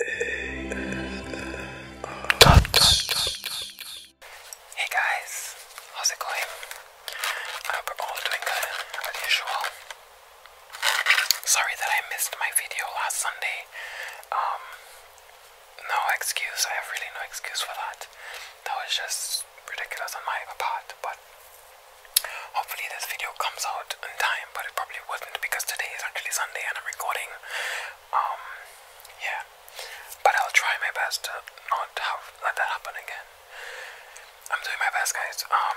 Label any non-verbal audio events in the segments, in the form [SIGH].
Hey guys, how's it going? I hope we're all doing good as usual. Sorry that I missed my video last Sunday. Um, no excuse. I have really no excuse for that. That was just ridiculous on my part. But hopefully this video comes out in time. But it probably probably wouldn't because today is actually Sunday and I'm recording. Um, yeah, but I'll try my best to not have let that happen again. I'm doing my best, guys. Um,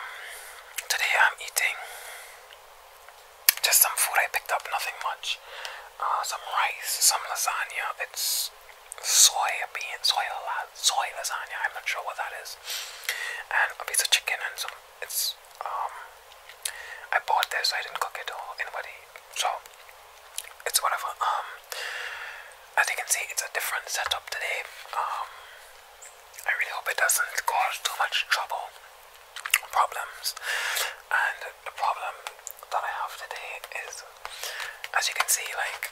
today I'm eating just some food I picked up, nothing much. Uh, some rice, some lasagna. It's soy bean, soy, soy lasagna. I'm not sure what that is. And a piece of chicken and some. It's um, I bought this. I didn't cook it or anybody. So it's whatever. Um, as you can see, it's a different setup today. Um, I really hope it doesn't cause too much trouble, problems. And the problem that I have today is, as you can see, like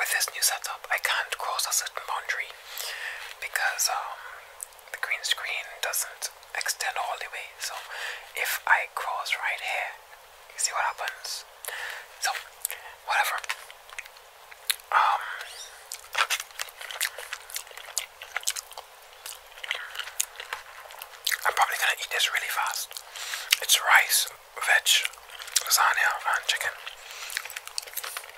with this new setup, I can't cross a certain boundary because um, the green screen doesn't extend all the way. So if I cross right here, you see what happens. So whatever. Um, I'm probably gonna eat this really fast. It's rice, veg, lasagna, and chicken.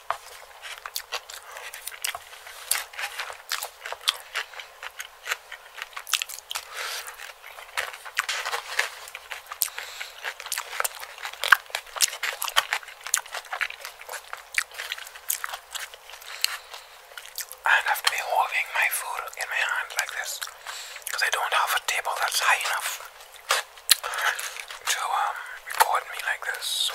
I'd have to be holding my food in my hand like this because I don't have a table that's high enough to um, record me like this. So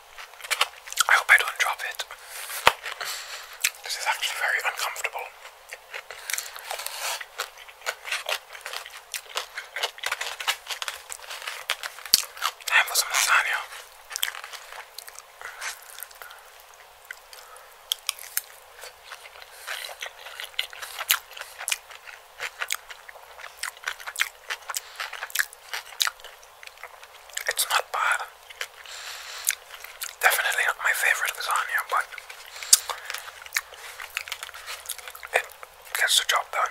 I hope I don't drop it. This is actually very uncomfortable. Time for it's not bad. Definitely not my favorite lasagna, but it gets the job done.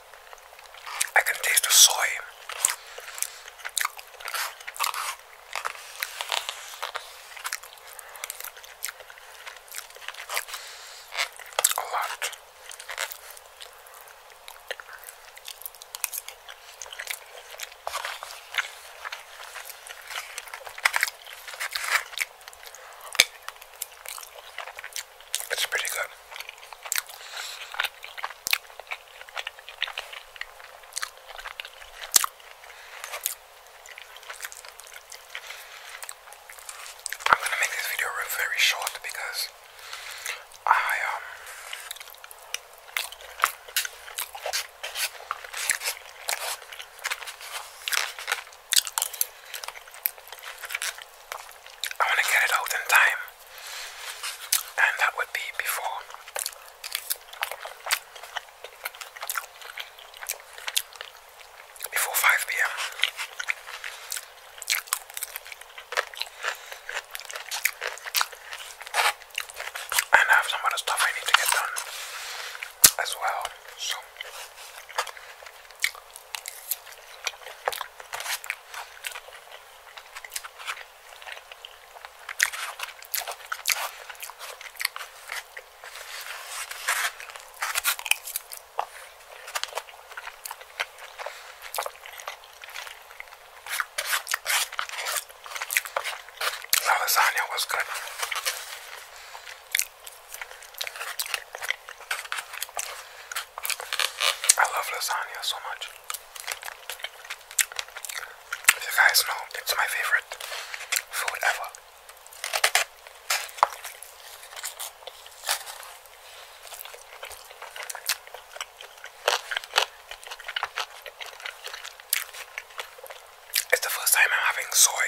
I can taste the soy. A lot. It's pretty good. I'm gonna make this video very short because I um I want to get it out in time and that would be before before five p.m. And have some other stuff I need to get done as well. So. The lasagna was good. I love lasagna so much you guys know, it's my favorite food ever. It's the first time I'm having soy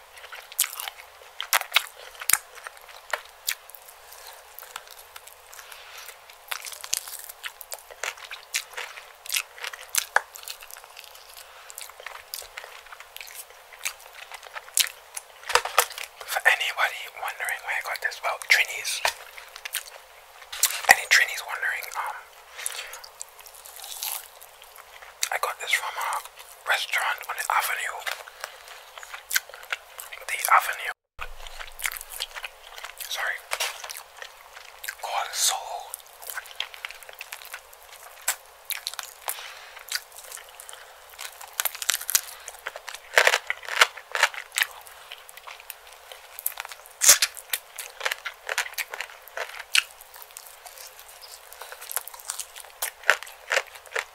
For anybody wondering where I got this, well, Trini's. Any Trini's wondering, um, I got this from a uh, restaurant on the avenue. The avenue. Sorry. Called Soul.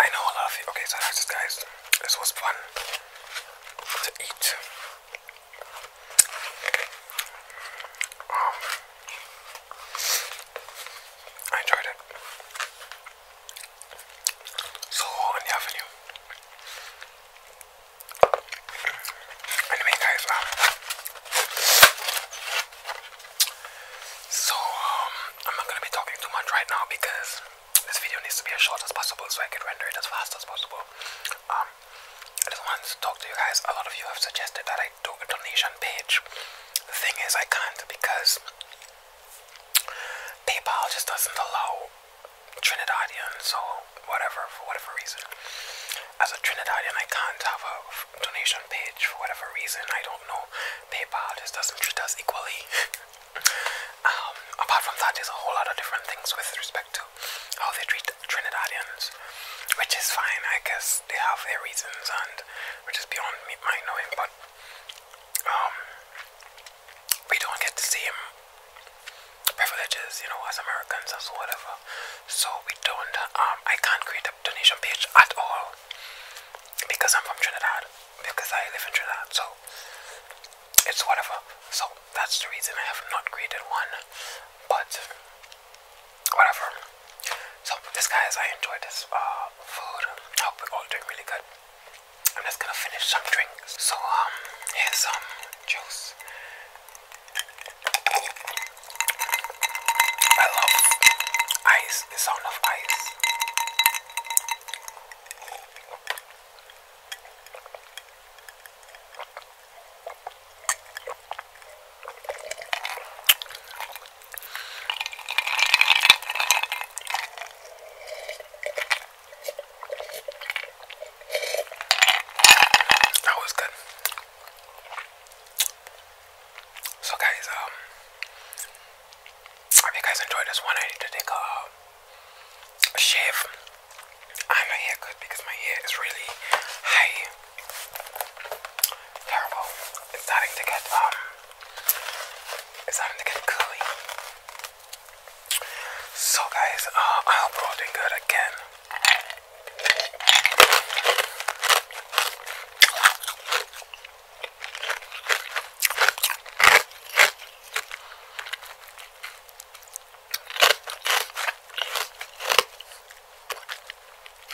I know a lot you. Okay, so that's guys. This was fun to eat. Um, I enjoyed it. So on the avenue. Anyway, guys, uh, so um, I'm not gonna be talking too much right now because this video needs to be as short as possible so I can render it as fast as possible. Um, I just wanted to talk to you guys. A lot of you have suggested that I do a donation page. The thing is, I can't because PayPal just doesn't allow Trinidadians or whatever, for whatever reason. As a Trinidadian, I can't have a donation page for whatever reason. I don't know. PayPal just doesn't treat us equally. [LAUGHS] Um, apart from that, there's a whole lot of different things with respect to how they treat Trinidadians, which is fine. I guess they have their reasons and which is beyond my knowing, but um, we don't get the same privileges, you know, as Americans, or whatever. So we don't, um, I can't create a donation page at all because I'm from Trinidad, because I live in Trinidad, so it's whatever. So that's the reason I have not created one, but whatever. So this guys, I enjoyed this uh, food. I hope we're all doing really good. I'm just gonna finish some drinks. So um, here's some juice. I love ice. The sound of ice. That was good. So guys, um if you guys enjoyed this one I need to take a, um, shave. I'm a haircut because my hair is really high Terrible. It's starting to get um it's starting to get gooey. So guys, uh, I hope we doing good again.